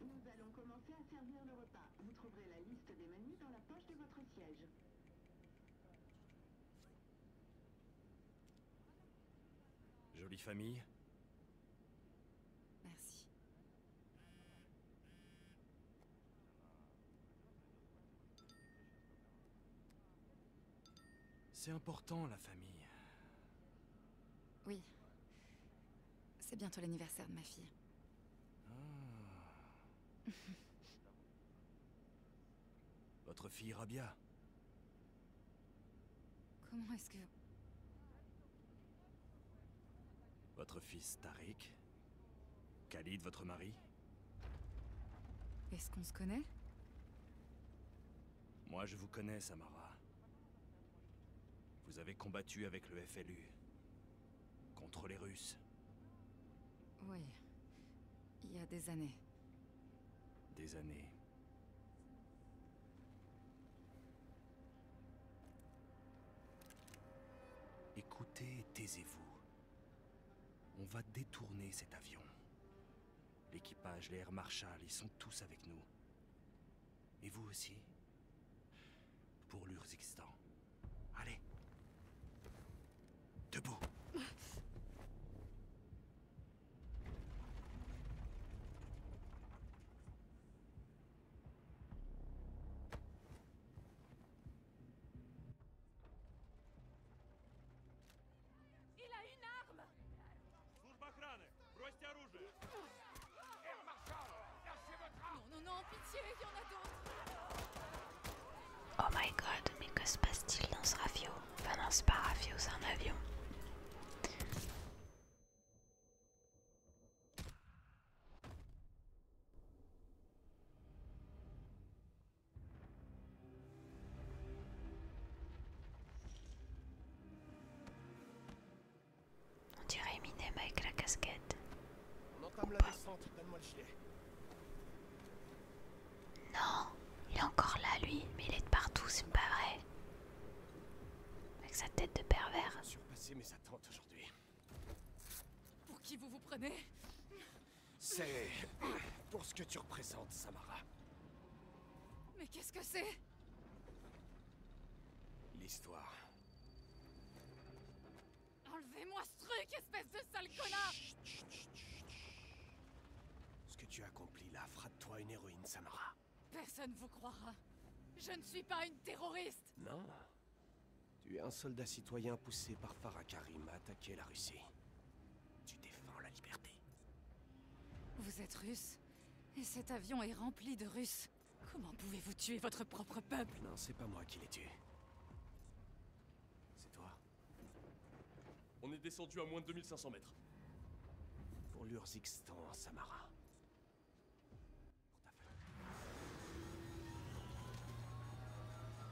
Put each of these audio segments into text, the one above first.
nous allons commencer à servir le repas. Vous trouverez la liste des menus dans la poche de votre siège. Jolie famille. Merci. C'est important, la famille. Oui. C'est bientôt l'anniversaire de ma fille. Ah. Votre fille Rabia Comment est-ce que... Votre fils Tarik, Khalid, votre mari Est-ce qu'on se connaît Moi, je vous connais, Samara. Vous avez combattu avec le FLU. Contre les Russes. Oui. Il y a des années. Des années. Écoutez et taisez-vous. On va détourner cet avion. L'équipage, l'air Air Marshal, ils sont tous avec nous. Et vous aussi. Pour l'Urzikistan. Allez. Debout. Il a une arme Oh my god, mais que se passe-t-il dans ce rafio Enfin non, ce n'est pas un rafio, c'est un avion. On dirait Eminem avec la casquette. On entame la descente, donne-moi le Non, il est encore là lui, mais il est de partout, c'est pas vrai. Avec sa tête de pervers. Pour qui vous vous prenez C'est pour ce que tu représentes, Samara. Mais qu'est-ce que c'est L'histoire Enlevez-moi ce truc, espèce de sale connard Ce que tu accomplis là fera de toi une héroïne, Samara. Personne vous croira. Je ne suis pas une terroriste Non. Tu es un soldat citoyen poussé par Farah à attaquer la Russie. Tu défends la liberté. Vous êtes russe Et cet avion est rempli de Russes. Comment pouvez-vous tuer votre propre peuple Non, c'est pas moi qui les tué. C'est toi. On est descendu à moins de 2500 mètres. Pour l'Urzikstan, Samara. Pour ta femme.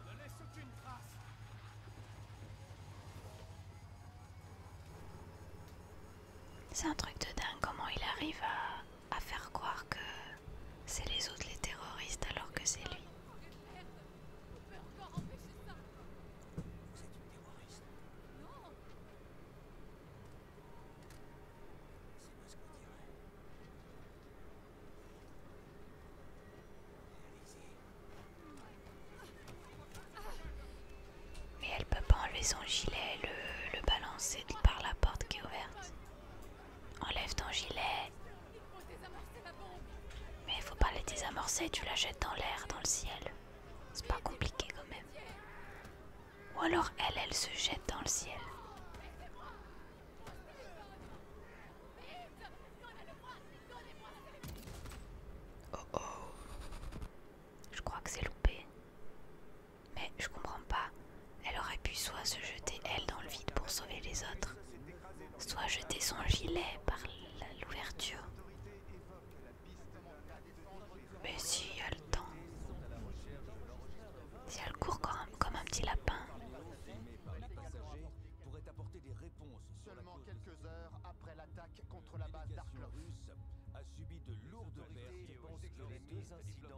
Ne laisse aucune trace c'est un truc de dingue comment il arrive à, faire croire que c'est les autres les terroristes alors que c'est lui. Mais elle peut pas enlever son gilet le balancer par la porte qui est ouverte. Enlève ton gilet. Mais il faut pas les désamorcer, tu la jettes dans l'air, dans le ciel. C'est pas compliqué quand même. Ou alors elle, elle se jette dans le ciel. Oh oh. Je crois que c'est loupé. Mais je comprends pas. Elle aurait pu soit se jeter elle dans le vide pour sauver les autres, soit jeter son gilet par l'ouverture. Mais si elle le temps, si elle court comme, comme un petit lapin. de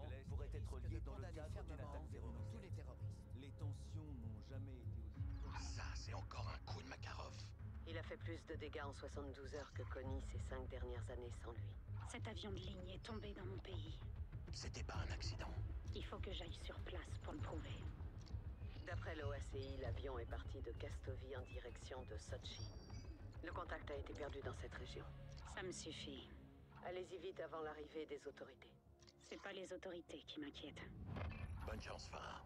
lourdes être dans le les tensions n'ont jamais été ah, Ça, c'est encore un coup de Makarov. Il a fait plus de dégâts en 72 heures que Connie ces cinq dernières années sans lui. Cet avion de ligne est tombé dans mon pays. C'était pas un accident. Il faut que j'aille sur place pour le prouver. D'après l'OACI, l'avion est parti de Castovie en direction de Sochi. Le contact a été perdu dans cette région. Ça me suffit. Allez-y vite avant l'arrivée des autorités. C'est pas les autorités qui m'inquiètent. Bonne chance, Farah.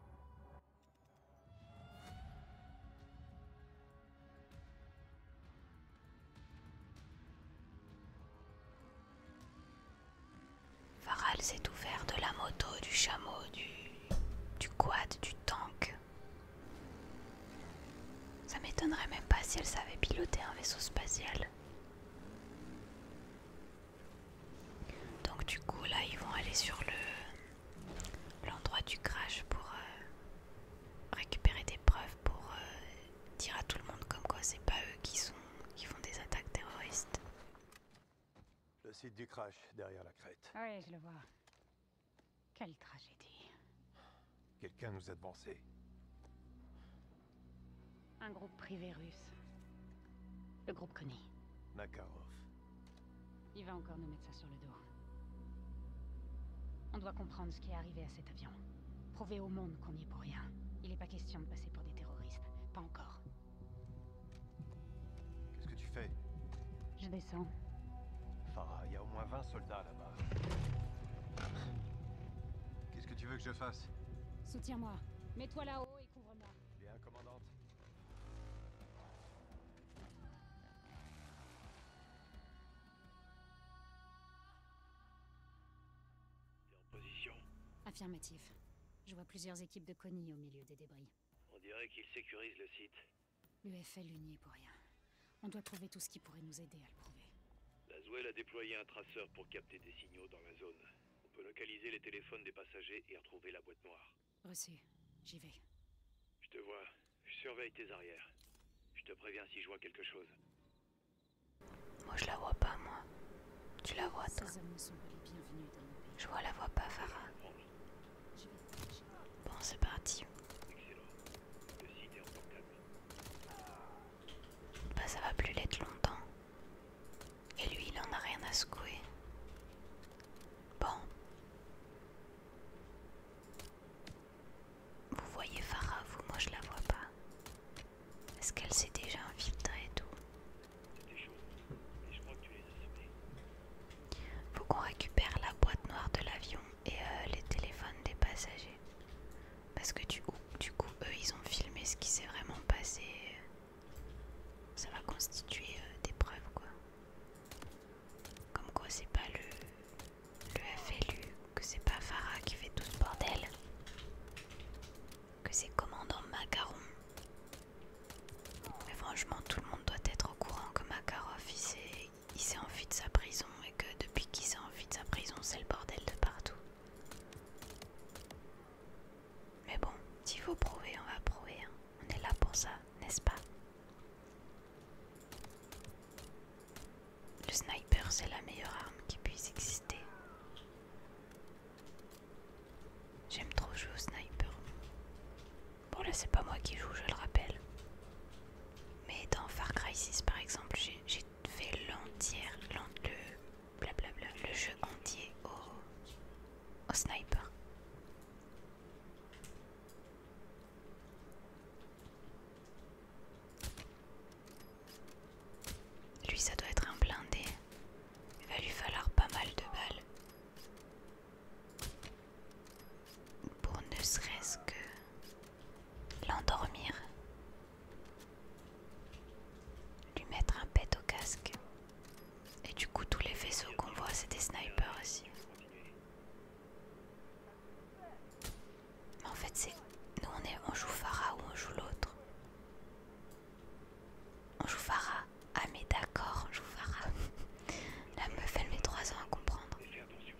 Farah s'est ouvert de la moto, du chameau, du... du quad, du tank. Ça m'étonnerait même pas si elle savait piloter un vaisseau spatial. Donc du coup là ils vont aller sur le l'endroit du crash pour euh, récupérer des preuves pour euh, dire à tout le monde comme quoi c'est pas eux qui sont qui font des attaques terroristes. Le site du crash derrière la crête. Ah oui, je le vois. Quelle tragédie. Quelqu'un nous a devancés. Un groupe privé russe. Le groupe connu. Makarov. Il va encore nous mettre ça sur le dos. On doit comprendre ce qui est arrivé à cet avion. Prouver au monde qu'on n'y est pour rien. Il n'est pas question de passer pour des terroristes. Pas encore. Qu'est-ce que tu fais Je descends. Farah, il y a au moins 20 soldats Qu'est-ce que tu veux que je fasse Soutiens-moi. Mets-toi là-haut et couvre-moi. Bien, commandante. en position Affirmatif. Je vois plusieurs équipes de Connie au milieu des débris. On dirait qu'ils sécurisent le site. L'UFL l'unit pour rien. On doit trouver tout ce qui pourrait nous aider à le prouver. Laswell a déployé un traceur pour capter des signaux dans la zone. On peut localiser les téléphones des passagers et retrouver la boîte noire. Reçu. J'y vais. Je te vois. Je surveille tes arrières. Je te préviens si je vois quelque chose. Moi, je la vois pas, moi. Tu la vois, toi Je vois la voix pas, Farah. Bon, c'est parti. Excellent. Le site est en bah ça va plus l'être longtemps. Et lui il en a rien à secouer. Bon. Vous voyez Farah, vous, moi je la vois pas. Est-ce qu'elle s'est déjà infiltrée et tout Faut qu'on récupère la boîte noire de l'avion et euh, les téléphones des passagers. Parce que du coup, du coup, eux, ils ont filmé ce qui s'est vraiment passé. Ça va constituer euh, des preuves, quoi. Comme quoi, c'est pas le, le FLU, que c'est pas Farah qui fait tout ce bordel, que c'est commandant Macaron. Mais franchement, tout le monde doit être au courant que Makarov, il, il s'est enfui de sa prison et que depuis qu'il s'est enfui de sa prison, c'est le bordel de partout. Mais bon, si faut prouver, on va prouver. Hein. On est là pour ça, n'est-ce pas Le sniper, c'est la meilleure arme qui puisse exister. J'aime trop jouer au sniper. Bon là c'est pas moi qui joue, je le rappelle. Mais dans Far Cry 6 par exemple, j'ai fait l'entière, le, blablabla, le jeu entier au, au sniper. Lui, ça doit être un blindé. Il va lui falloir pas mal de balles. Pour ne serait-ce que l'endormir, lui mettre un pet au casque. Et du coup, tous les vaisseaux qu'on voit, c'est des snipers aussi. Mais en fait, c'est nous, on, est... on joue Farah ou on joue l'autre. On joue Farah. Ah mais d'accord, on joue Farah. La meuf, elle met 3 ans à comprendre.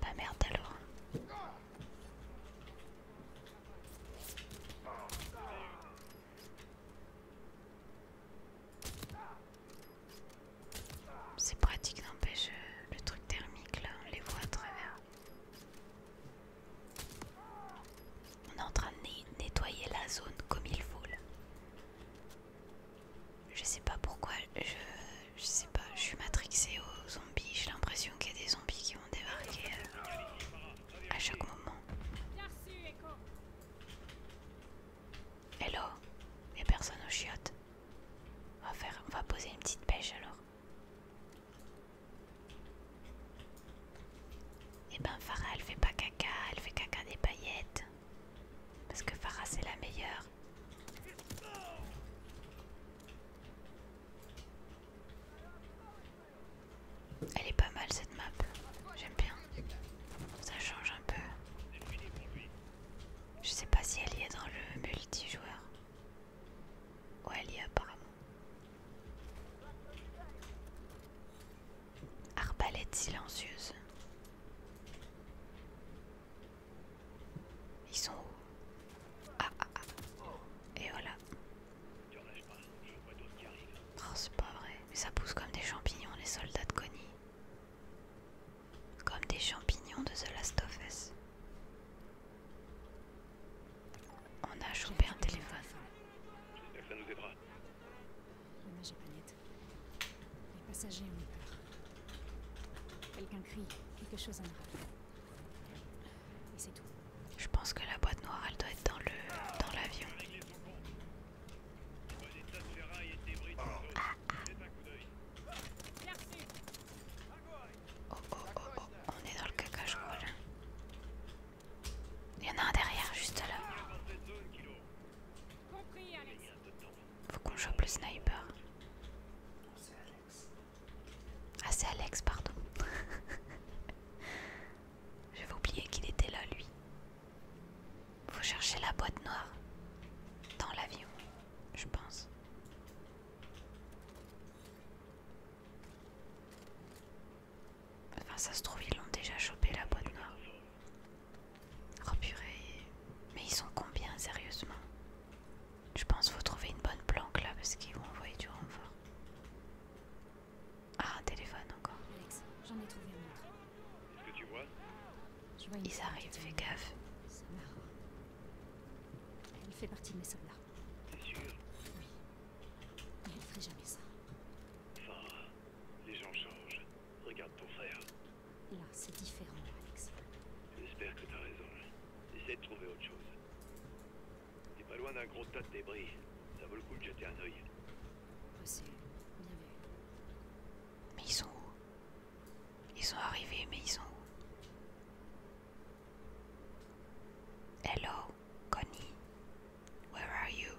Bah merde alors. C'est pratique n'empêche euh, le truc thermique là, on les voit à travers. On est en train de nettoyer la zone comme il faut là. Je sais pas pourquoi je je sais pas, je suis matrixée aux zombies, j'ai l'impression qu'il y a des zombies qui vont débarquer euh, à chaque moment. Hello, il n'y a personne aux chiottes. On va, faire, on va poser une petite pêche alors. Et eh ben Farah elle fait pas caca, elle fait caca des paillettes. Parce que Farah c'est la meilleure. Elle est pas mal cette map, j'aime bien. Ça change un peu. Je sais pas si elle y est dans le multijoueur. Ouais, elle y est apparemment. Arbalète silencieuse. Ils sont où Ah ah ah Et voilà Oh c'est pas vrai Mais ça pousse comme des champignons les soldats de Connie Comme des champignons de The Last of Us On a chopé un téléphone J'espère que ça nous aidera Dommage pas Les passagers ont peur Quelqu'un crie, quelque chose en arrive. Je pense que la boîte noire, elle doit être dans le dans l'avion. Ah, ah. Oh, oh, oh, oh, on est dans le caca, je là. Il y en a un derrière, juste là. Faut qu'on chope le sniper. Ah c'est Alex, pardon. J'avais oublié qu'il était là, lui. Faut chercher la boîte noire dans l'avion, je pense. Enfin, ça se trouve, ils l'ont déjà chopé la boîte noire. Oh Mais ils sont combien, sérieusement je pense qu'il faut trouver une bonne planque là parce qu'ils vont envoyer du renfort. Ah, un téléphone encore. j'en ai trouvé un autre. ce que tu vois Ils arrivent, fais gaffe. C'est marrant. Elle fait partie de mes soldats. T'es sûr Oui. Mais ne ferait jamais ça. Enfin, les gens changent. Regarde ton frère. Là, c'est différent, Alex. J'espère que t'as raison. J'essaie de trouver autre chose. T'es pas loin d'un gros tas de débris. Ça vaut le coup de jeter un œil. Mais ils sont où Ils sont arrivés, mais ils sont où Hello, Connie. Where are you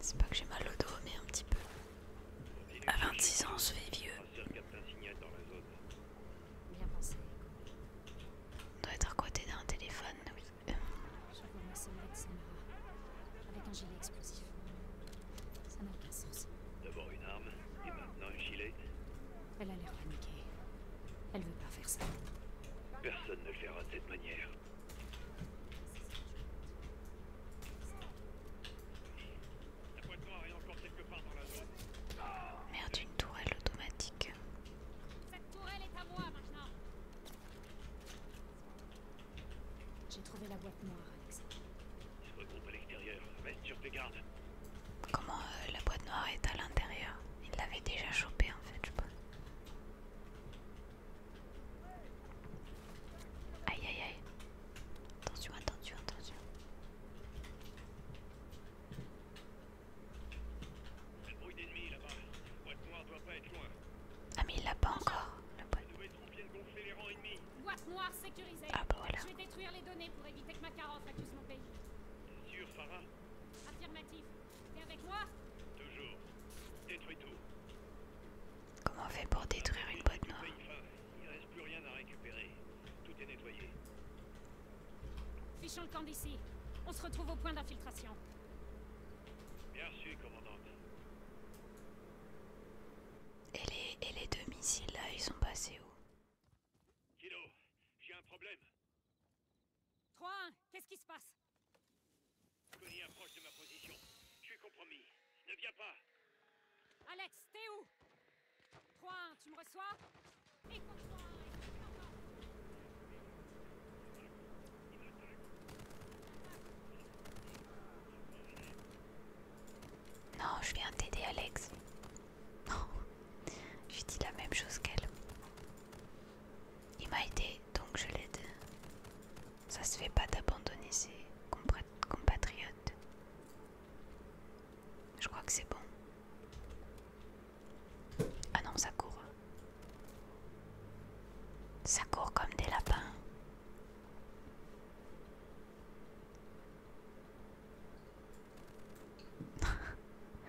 C'est pas que j'ai mal au dos, mais un petit peu. À 26 ans, je vais vieux. Bien pensé. On doit être à côté d'un téléphone, oui. Je vois ma c'est Samara. Avec un gilet explosif. Ça n'a aucun sens. D'abord une arme, et maintenant un gilet. Elle a l'air paniquée. Elle veut pas faire ça. Personne ne le fera de cette manière. La encore quelque part dans Merde, une tourelle automatique. Cette tourelle est à moi maintenant. J'ai trouvé la boîte noire, Alex. Je regroupe à l'extérieur. Reste sur tes gardes. Comment euh, la boîte noire est à l'intérieur Il l'avait déjà chopée en fait, je pense. Aïe aïe aïe. Attention, attention, attention. Le bruit d'ennemis là-bas. La boîte noire doit pas être loin. Ah mais il l'a pas encore, Les nouvelles troupes viennent gonfler les rangs ennemis. Boîte noire sécurisée. Ah, bah Je vais détruire les données pour éviter que Macaron accuse mon pays. T'es sûr, Farah Affirmatif. T'es avec moi Toujours. Détruis tout. Comment on fait pour détruire une boîte noire Il ne reste plus rien à récupérer. Tout est nettoyé. Fichons le camp d'ici. On se retrouve au point d'infiltration. Bien reçu, commandante. Et les, et les deux missiles là, ils sont passés où Kilo, j'ai un problème. 3-1, qu'est-ce qui se passe Connie approche de ma position. Je suis compromis. Ne viens pas Alex, t'es où 3 tu me reçois Non, je viens t'aider Alex. Non, j'ai dit la même chose qu'elle. Il m'a aidé, donc je l'aide. Ça se fait pas d'abandonner ses compatriotes. Je crois que c'est bon. Ah non, ça court. Ça court comme des lapins.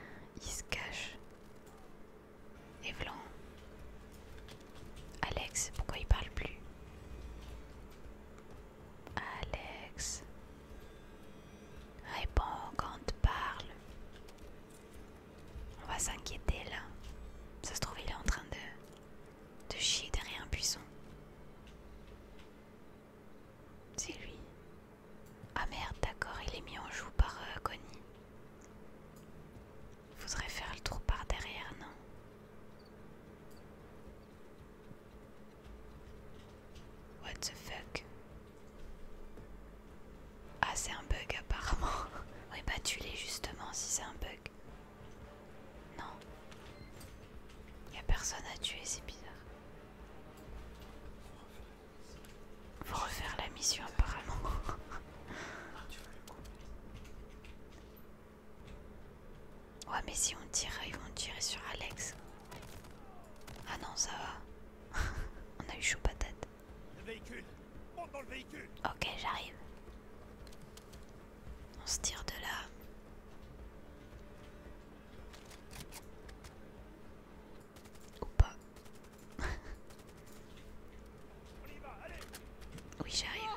Il se cache. Et Alex, pourquoi il parle plus Alex. Réponds quand tu parle. On va s'inquiéter là. Ça se trouve, il est en train de, de chier derrière un buisson. C'est lui. Ah merde, d'accord, il est mis en joue par euh, Connie. Faudrait faire le trou par derrière, non What the fuck Ah c'est un bug apparemment. oui bah tu l'es justement si c'est un bug. Non. Y a personne à tuer, c'est bizarre. Faut refaire la mission apparemment. Ah, Ouais mais si on tire, ils vont tirer sur Alex. Ah non ça va. on a eu chaud patate. Le Ok j'arrive. On se tire de là. Ou pas. Oui j'arrive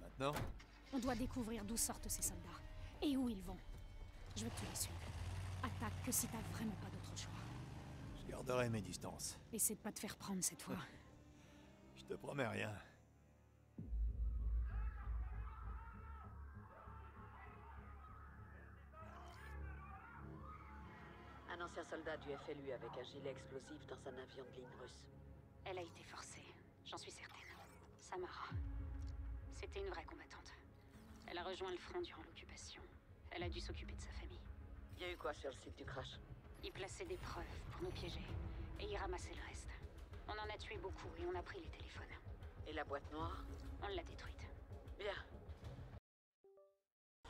maintenant On doit découvrir d'où sortent ces soldats et où ils vont. Je veux te les suivre. Attaque que si t'as vraiment pas d'autre choix. Je garderai mes distances. Essaie de pas te faire prendre cette fois. Je te promets rien. Un ancien soldat du FLU avec un gilet explosif dans un avion de ligne russe. Elle a été forcée, j'en suis certaine. Samara. C'était une vraie combattante. Elle a rejoint le front durant l'occupation. Elle a dû s'occuper de sa famille. Il y a eu quoi sur le site du crash Ils plaçaient des preuves pour nous piéger, et y ramasser le reste. On en a tué beaucoup et on a pris les téléphones. Et la boîte noire On l'a détruite. Bien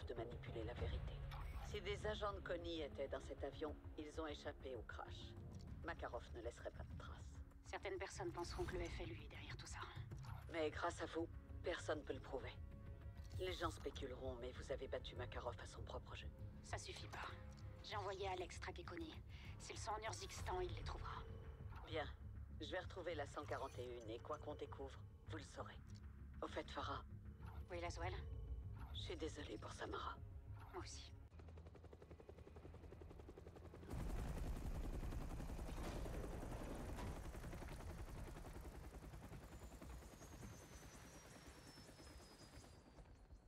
de manipuler la vérité. Si des agents de Connie étaient dans cet avion, ils ont échappé au crash. Makarov ne laisserait pas de traces. Certaines personnes penseront que le FLU est derrière tout ça. Mais grâce à vous, personne ne peut le prouver. Les gens spéculeront, mais vous avez battu Makarov à son propre jeu. Ça suffit pas. J'ai envoyé Alex traquer Connie. S'ils sont en Urzikstan, il les trouvera. Bien. Je vais retrouver la 141 et quoi qu'on découvre, vous le saurez. Au fait, Farah. Oui, Laswell Je suis désolé pour Samara. Moi aussi.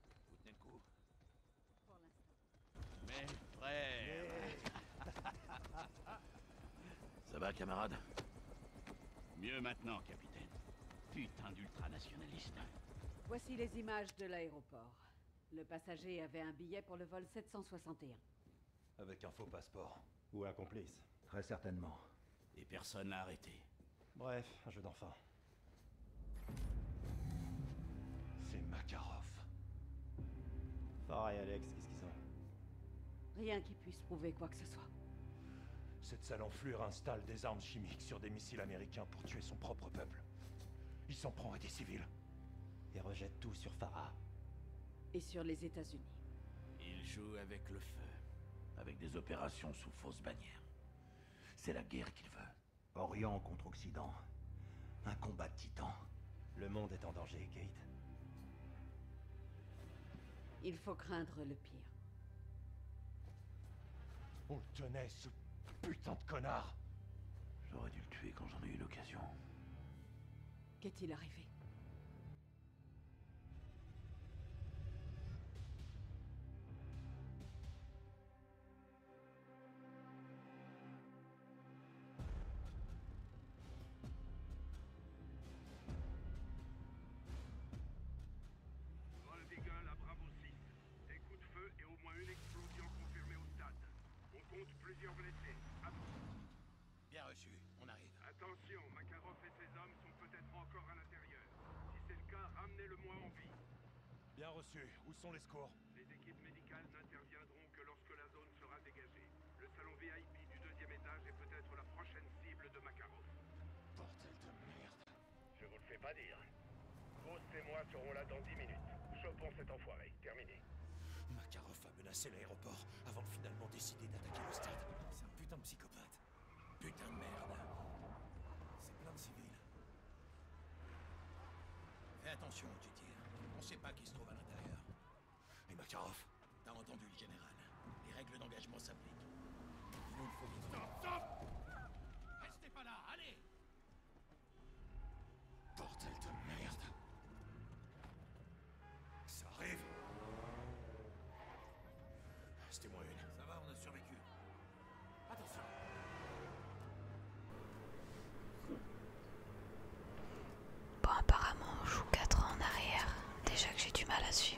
Vous tenez le coup Mais très Ça va, camarade Mieux maintenant, capitaine. Putain d'ultranationaliste. Voici les images de l'aéroport. Le passager avait un billet pour le vol 761. Avec un faux passeport. Ou un complice. Très certainement. Et personne n'a arrêté. Bref, un jeu d'enfant. C'est Makarov. Pareil, Alex, qu'est-ce qu'ils ont Rien puisse prouver quoi que ce soit. Cette sale enflure installe des armes chimiques sur des missiles américains pour tuer son propre peuple. Il s'en prend à des civils. Et rejette tout sur Farah. Et sur les États-Unis. Il joue avec le feu. Avec des opérations sous fausse bannière. C'est la guerre qu'il veut. Orient contre Occident. Un combat de titans. Le monde est en danger, Kate. Il faut craindre le on le tenait, ce putain de connard J'aurais dû le tuer quand j'en ai eu l'occasion. Qu'est-il arrivé Vol la Bravo 6. Des coups de feu et au moins une explosion confirmée au stade. On compte plusieurs blessés. Bien reçu, on arrive. Attention, Makarov et ses hommes sont peut-être encore à l'intérieur. Si c'est le cas, ramenez-le-moi en vie. Bien reçu. Où sont les scores? Les équipes médicales n'interviendront que lorsque la zone sera dégagée. Le salon VIP du deuxième étage est peut-être la prochaine cible de Makarov. Bordel de merde. Je vous le fais pas dire. Grosse et moi serons là dans 10 minutes. Chopons cet enfoiré. Terminé. Makarov a menacé l'aéroport avant de finalement décider d'attaquer le stade. C'est un putain de psychopathe. Putain de merde. C'est plein de civils. Fais attention On sait pas qui se trouve à l'intérieur. Et Makarov T'as entendu le général. Les règles d'engagement s'appliquent. Il nous faut vite. Stop, stop Restez pas là, allez Bordel de merde Ça arrive C'était moi une. Ça va, on a survécu. Attention Bon, apparemment, on joue 4 ans en arrière. Déjà que j'ai du mal à suivre.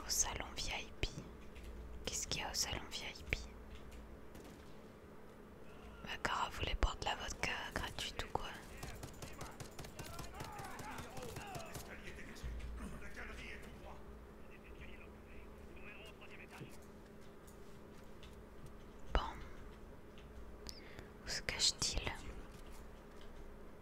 Au salon VIP. Qu'est-ce qu'il y a au salon VIP D'accord, vous les de la vodka gratuite ou quoi Bon. Où se cache-t-il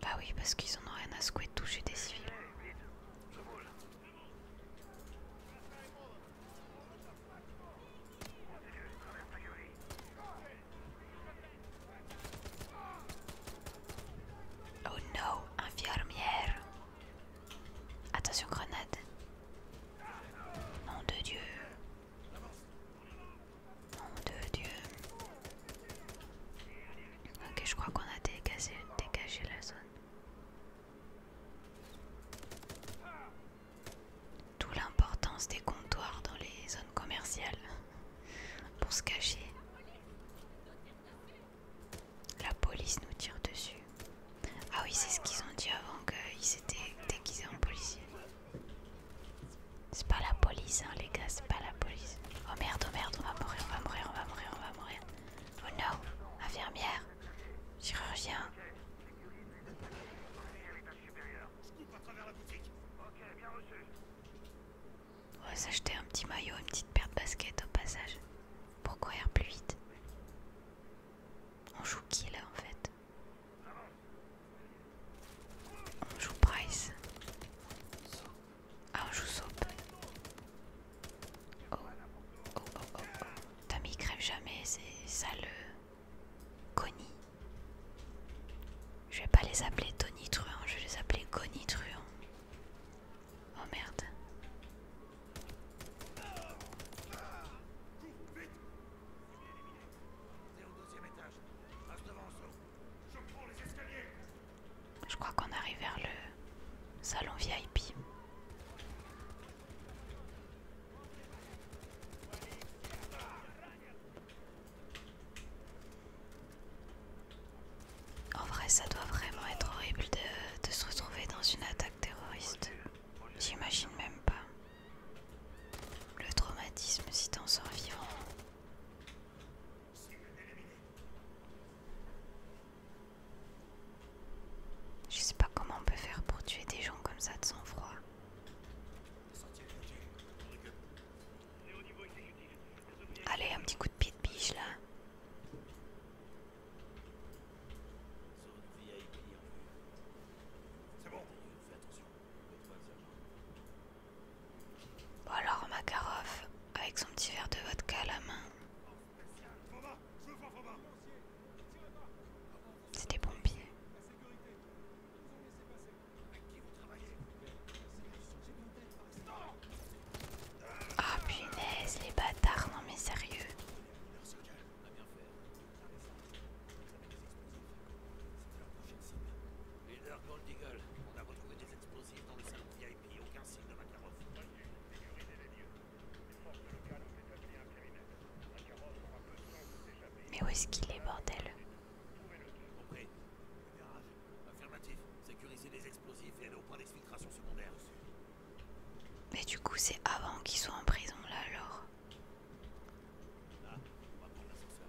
Bah oui, parce qu'ils en ont rien à secouer de toucher des civils. Oh no, infirmière. Attention grenade. Nom de Dieu. Mon Dieu. Ok, je crois qu'on a dégagé, dégagé la zone. D'où l'importance des comptoirs dans les zones commerciales pour se cacher. La police nous tire dessus. Ah oui, c'est ce qu'ils ont dit avant qu'ils s'étaient déguisés en policiers. C'est pas la police, hein, les gars, c'est pas la police. Oh merde, oh merde, on va mourir, on va mourir, on va mourir, on va mourir. Oh no, infirmière, chirurgien. On va s'acheter un petit maillot, une petite paire de baskets au passage. Pour courir plus vite. On joue qui là en fait on joue Price. Ah, on joue Soap. Oh, oh, oh, oh. oh. crève jamais, c'est saleux, Goni, Je vais pas les appeler Tony Truant, je vais les appeler Goni Truant. Oh merde. Je crois qu'on arrive vers le salon VIP. En vrai, ça doit vraiment être horrible de, se retrouver dans une attaque terroriste. J'imagine même pas. Le traumatisme si t'en sors vivant. Je sais pas comment on peut faire pour tuer des gens comme ça de sang froid. Allez, un petit coup de pied de biche là. C'est bon, fais attention. Ou alors Makarov, avec son petit verre de vodka à la main. C'est des pompiers. Ah punaise, les bâtards, non mais sérieux les explosifs. C'était leur prochaine cible. Leader Gold Eagle, on a retrouvé des explosifs dans le salon VIP, aucun signe de Makarov. Voyez, Mais où est-ce qu'il est, bordel Compris. Garage. Affirmatif. Sécurisez les explosifs et allez au point d'exfiltration secondaire. Mais du coup, c'est avant qu'ils soient en prison là alors. Là, on va prendre l'ascenseur.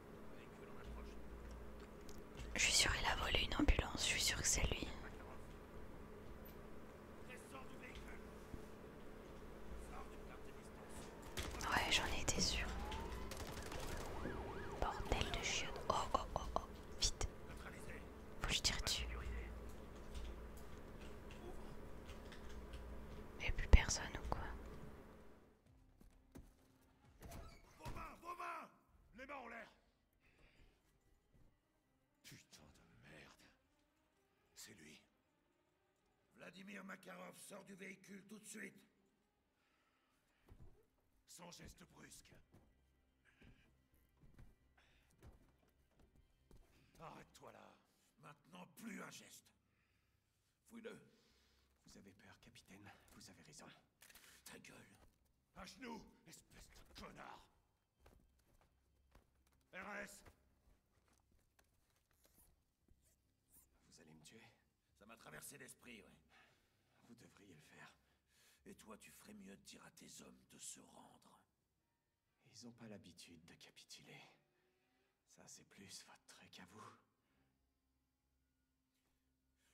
Je suis sûr il a volé une ambulance, je suis sûr que c'est lui. Ouais, j'en ai été sûr. Bordel de chiotte. Oh oh oh oh, vite. Faut que je tire dessus. a plus personne ou quoi vos mains, vos mains Les mains en l'air Putain de merde. C'est lui. Vladimir Makarov sort du véhicule tout de suite. Sans geste brusque. Arrête-toi là. Maintenant, plus un geste. Fouille-le. Vous avez peur, capitaine. Vous avez raison. Ta gueule. À nous espèce de connard. RS Vous allez me tuer Ça m'a traversé l'esprit, oui. Vous devriez le faire. Et toi, tu ferais mieux de dire à tes hommes de se rendre. Ils n'ont pas l'habitude de capituler. Ça, c'est plus votre truc qu'à vous.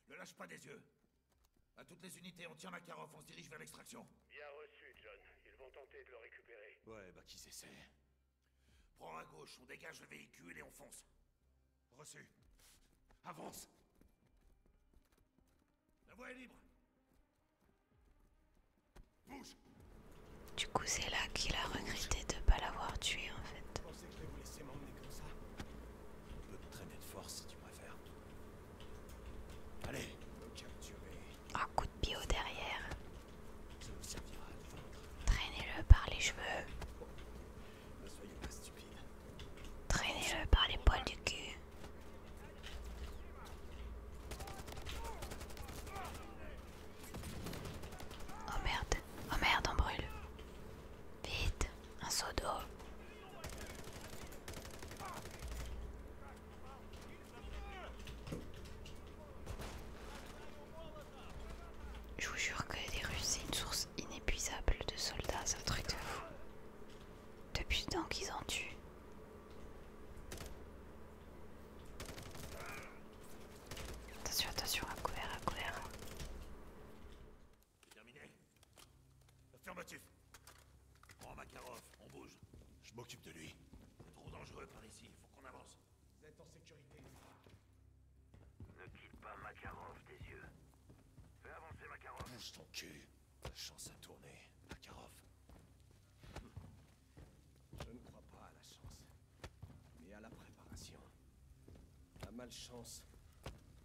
Le lâche pas des yeux. À toutes les unités, on tient la Makarov, on se dirige vers l'extraction. Bien reçu, John. Ils vont tenter de le récupérer. Ouais, bah qu'ils essaient. Prends à gauche, on dégage le véhicule et on fonce. Reçu. Avance La voie est libre Bouge du coup, c'est là qu'il a regretté de ne pas l'avoir tué en fait. vous comme ça. On peut te traîner de force si tu préfères. Allez, capturez. Un coup de pied au derrière. Ça vous servira à Traînez-le par les cheveux. ne soyez pas stupide. Traînez-le par les poils du cul. Oh merde, oh merde, on brûle. Vite, un seau d'eau. Je vous jure que les Russes, c'est une source inépuisable de soldats, c'est un truc de fou. Depuis le qu'ils ont tuent. Attention, attention, à couvert, à couvert. C'est terminé Affirmatif Prends Makarov, on bouge. Je m'occupe de lui. C'est trop dangereux par ici, il faut qu'on avance. Vous êtes en sécurité. Ne quitte pas Makarov des yeux. Fais avancer Makarov. Bouge ton cul. chance a tourné, Makarov. Je ne crois pas à la chance mais à la préparation. La malchance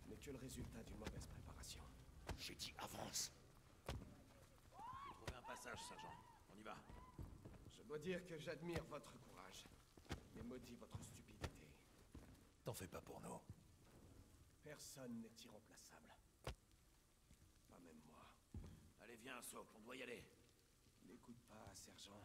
n'est que le résultat d'une mauvaise préparation. J'ai dit avance Trouvez un passage, sergent. On y va. Je dois dire que j'admire votre courage, mais maudit votre stupidité. T'en fais pas pour nous. Personne n'est irremplaçable. Pas même moi. Allez, viens, Socle, on doit y aller. N'écoute pas, sergent.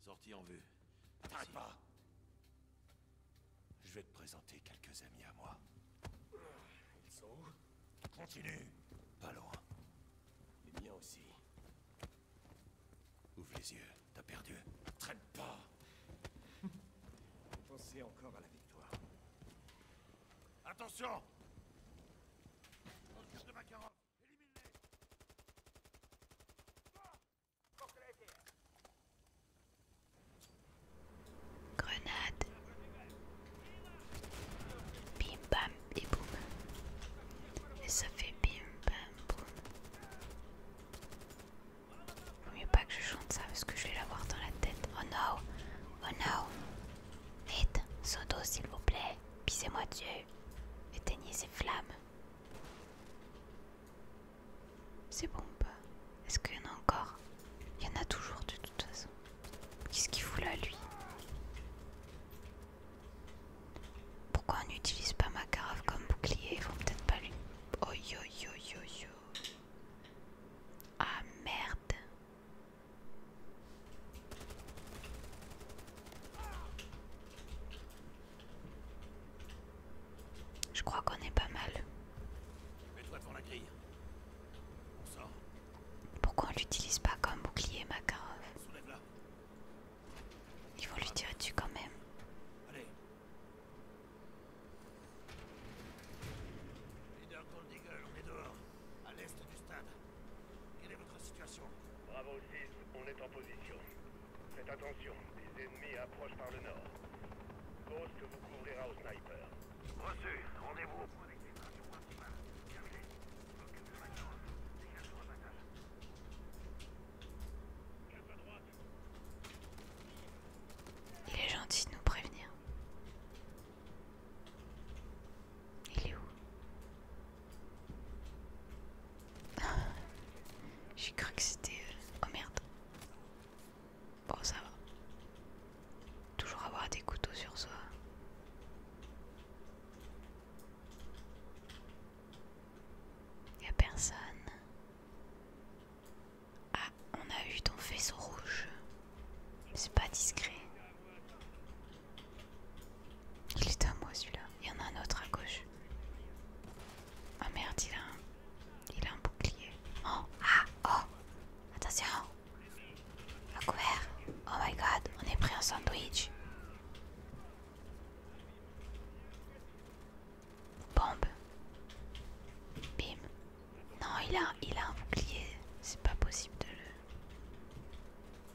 Sorti en vue. Traîne pas Je vais te présenter quelques amis à moi. Ils sont où Continue Pas loin. Les miens aussi. Ouvre les yeux, t'as perdu. Traîne pas Pensez encore à la victoire. Attention Au de ma Grenade Bim bam et boum Et ça fait bim bam boum Vaut mieux pas que je chante ça parce que je vais l'avoir dans la tête Oh no Oh no Vite, Sodo s'il vous plaît Pissez-moi dessus éteignez ces flammes. C'est bon ou pas Est-ce qu'il y en a encore Il y en a toujours de toute façon. Qu'est-ce qu'il fout là lui Pourquoi on n'utilise pas ma carafe comme bouclier Ils vont peut-être pas lui... Oh yo yo yo yo. Ah merde je crois qu'on est pas mal. Mets-toi devant la grille. On Pourquoi on l'utilise pas comme bouclier, Makarov Soulève-la. Ils vont lui tirer dessus quand même. Allez. Leader Gold Eagle, on est dehors. À l'est du stade. Quelle est votre situation Bravo 6, on est en position. Faites attention, les ennemis approchent par le nord. Ghost vous couvrira au sniper. Reçu, rendez-vous au point d'exfiltration principale. Terminé. Occupe le maintenant. Dégage le rebattage. Cap à droite. Les gens disent de nous prévenir. Il est où J'ai cru que c'était... Euh, oh merde. Bon ça va. Toujours avoir des couteaux sur soi. Y a personne. Ah, on a eu ton faisceau rouge. C'est pas discret. Il est à moi celui-là. Il y en a un autre à gauche. oh merde, il a un, il a un bouclier. Oh, ah, oh, attention. À couvert. Oh my god, on est pris en sandwich. Bombe. Bim. Non, il il a un bouclier. C'est pas possible de le...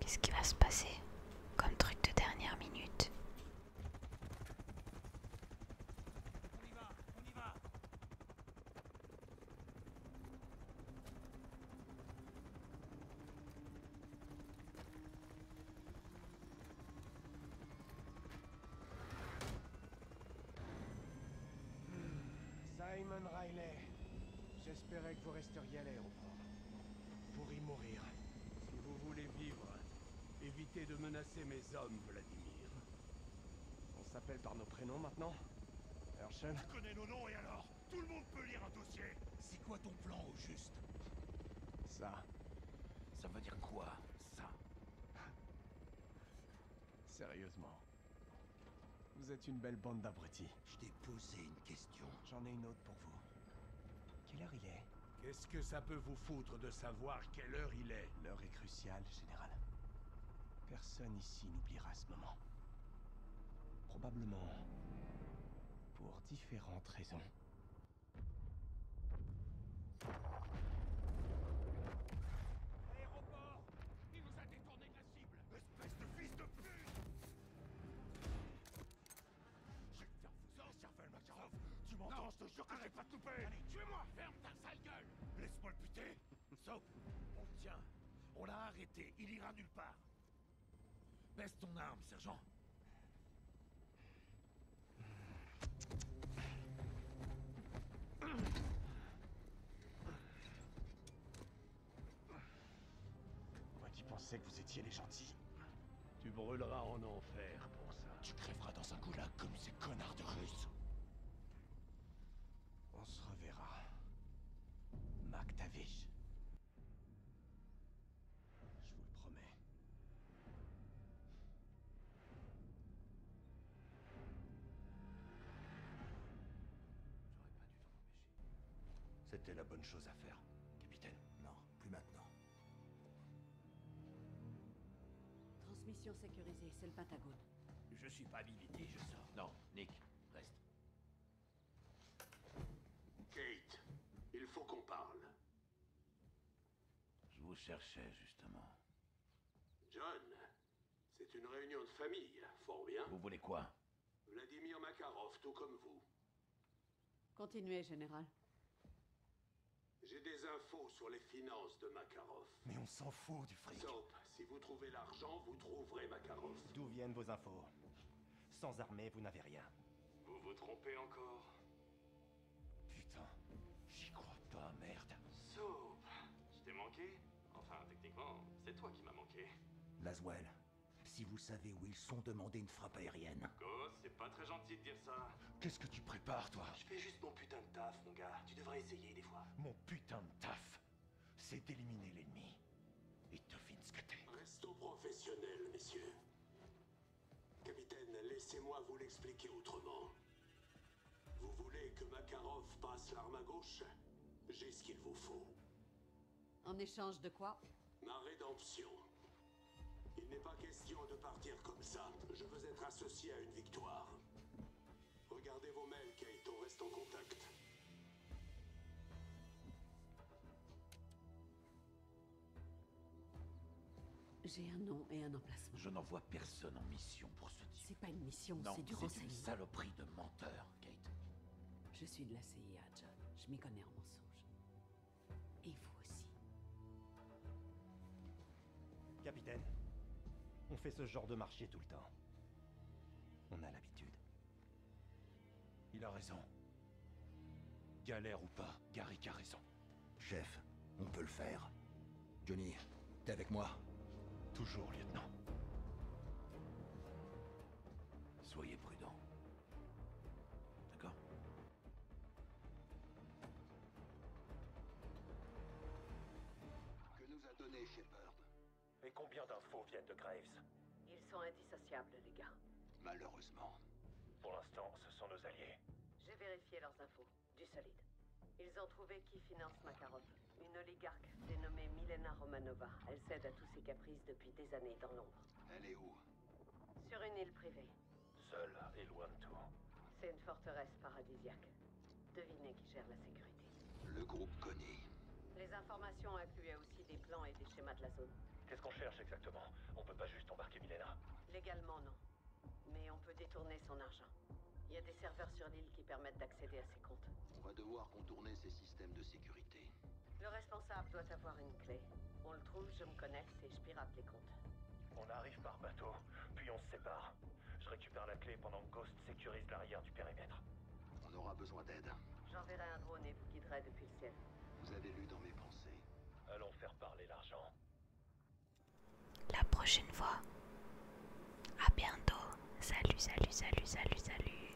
Qu'est-ce qui va se passer comme truc de dernière minute hmm. Simon Riley, j'espérais que vous resteriez à l'air. Pour y mourir. Si vous voulez vivre, évitez de menacer mes hommes, Vladimir. On s'appelle par nos prénoms maintenant Hershen Tu connais nos noms et alors Tout le monde peut lire un dossier C'est quoi ton plan au juste Ça. Ça veut dire quoi, ça Sérieusement. Vous êtes une belle bande d'abrutis. Je t'ai posé une question. J'en ai une autre pour vous. Quelle heure il est Qu'est-ce que ça peut vous foutre de savoir quelle heure il est L'heure est cruciale, Général. Personne ici n'oubliera ce moment. Probablement... pour différentes raisons. Aéroport Il nous a détourné Espèce de fils de pute Je vais te faire vous encerver, Tu m'entends, je te jure que je vais pas de couper Allez, tuez-moi Ferme ta sale gueule Laisse-moi le buter Sauf on tient. On l'a arrêté, il ira nulle part. Baisse ton arme, sergent. Moi qui pensais que vous étiez les gentils. Tu brûleras en enfer pour ça. Tu crèveras dans un goulag comme ces connards de Russes. On se reverra. MacTavish. Je vous le promets. J'aurais pas dû t'en c'était la bonne chose à faire, capitaine. Non, plus maintenant. Transmission sécurisée, c'est le Pentagone. Je suis pas habilité, je sors. Non, Nick, reste. Kate, il faut qu'on parle. Je vous cherchais, justement. John, c'est une réunion de famille, fort bien. Vous voulez quoi Vladimir Makarov, tout comme vous. Continuez, général. J'ai des infos sur les finances de Makarov. Mais on s'en fout du fric. Soap, si vous trouvez l'argent, vous trouverez Makarov. D'où viennent vos infos Sans armée, vous n'avez rien. Vous vous trompez encore Putain, j'y crois pas, merde. Soap, je t'ai manqué Enfin, techniquement, c'est toi qui m'as manqué. Laswell, si vous savez où ils sont, demandez une frappe aérienne. c'est pas très gentil de dire ça. Qu'est-ce que tu prépares, toi Je fais juste mon putain de taf, mon gars. Tu devrais essayer des fois. Mon putain de taf C'est d'éliminer l'ennemi. Et finir ce que t'es. Restons professionnel, messieurs. Capitaine, laissez-moi vous l'expliquer autrement. Vous voulez que Makarov passe l'arme à gauche J'ai ce qu'il vous faut. En échange de quoi Ma rédemption. Il n'est pas question de partir comme ça. Je veux être associé à une victoire. Regardez vos mails, Kate, reste en contact. J'ai un nom et un emplacement. Je n'envoie personne en mission pour ce type. C'est pas une mission, c'est du renseignement. C'est une saloperie de menteur. Je suis de la CIA, John. Je m'y connais en mensonge. Et vous aussi. Capitaine, on fait ce genre de marché tout le temps. On a l'habitude. Il a raison. Galère ou pas, Garrick a raison. Chef, on peut le faire. Johnny, t'es avec moi Toujours, lieutenant. Soyez prudent. D'accord Que nous a donné Shepard Et combien d'infos viennent de Graves Ils sont indissociables, les gars. Malheureusement. Pour l'instant, ce sont nos alliés. J'ai vérifié leurs infos. Du solide. Ils ont trouvé qui finance Makarov. Une oligarque dénommée Milena Romanova. Elle cède à tous ses caprices depuis des années dans l'ombre. Elle est où Sur une île privée. Seule et loin de tout. C'est une forteresse paradisiaque. Devinez qui gère la sécurité. Le groupe connaît. Les informations incluaient aussi des plans et des schémas de la zone. Qu'est-ce qu'on cherche exactement On peut pas juste embarquer Milena. Légalement, non. Mais on peut détourner son argent. Il y a des serveurs sur l'île qui permettent d'accéder à ses comptes. On va devoir contourner ces systèmes de sécurité. Le responsable doit avoir une clé. On le trouve, je me connecte et je pirate les comptes. On arrive par bateau, puis on se sépare. Je récupère la clé pendant que Ghost sécurise l'arrière du périmètre. On aura besoin d'aide. J'enverrai un drone et vous guiderai depuis le ciel. Vous avez lu dans mes pensées. Allons faire parler l'argent. La prochaine fois. À bientôt. Salut, salut, salut, salut, salut.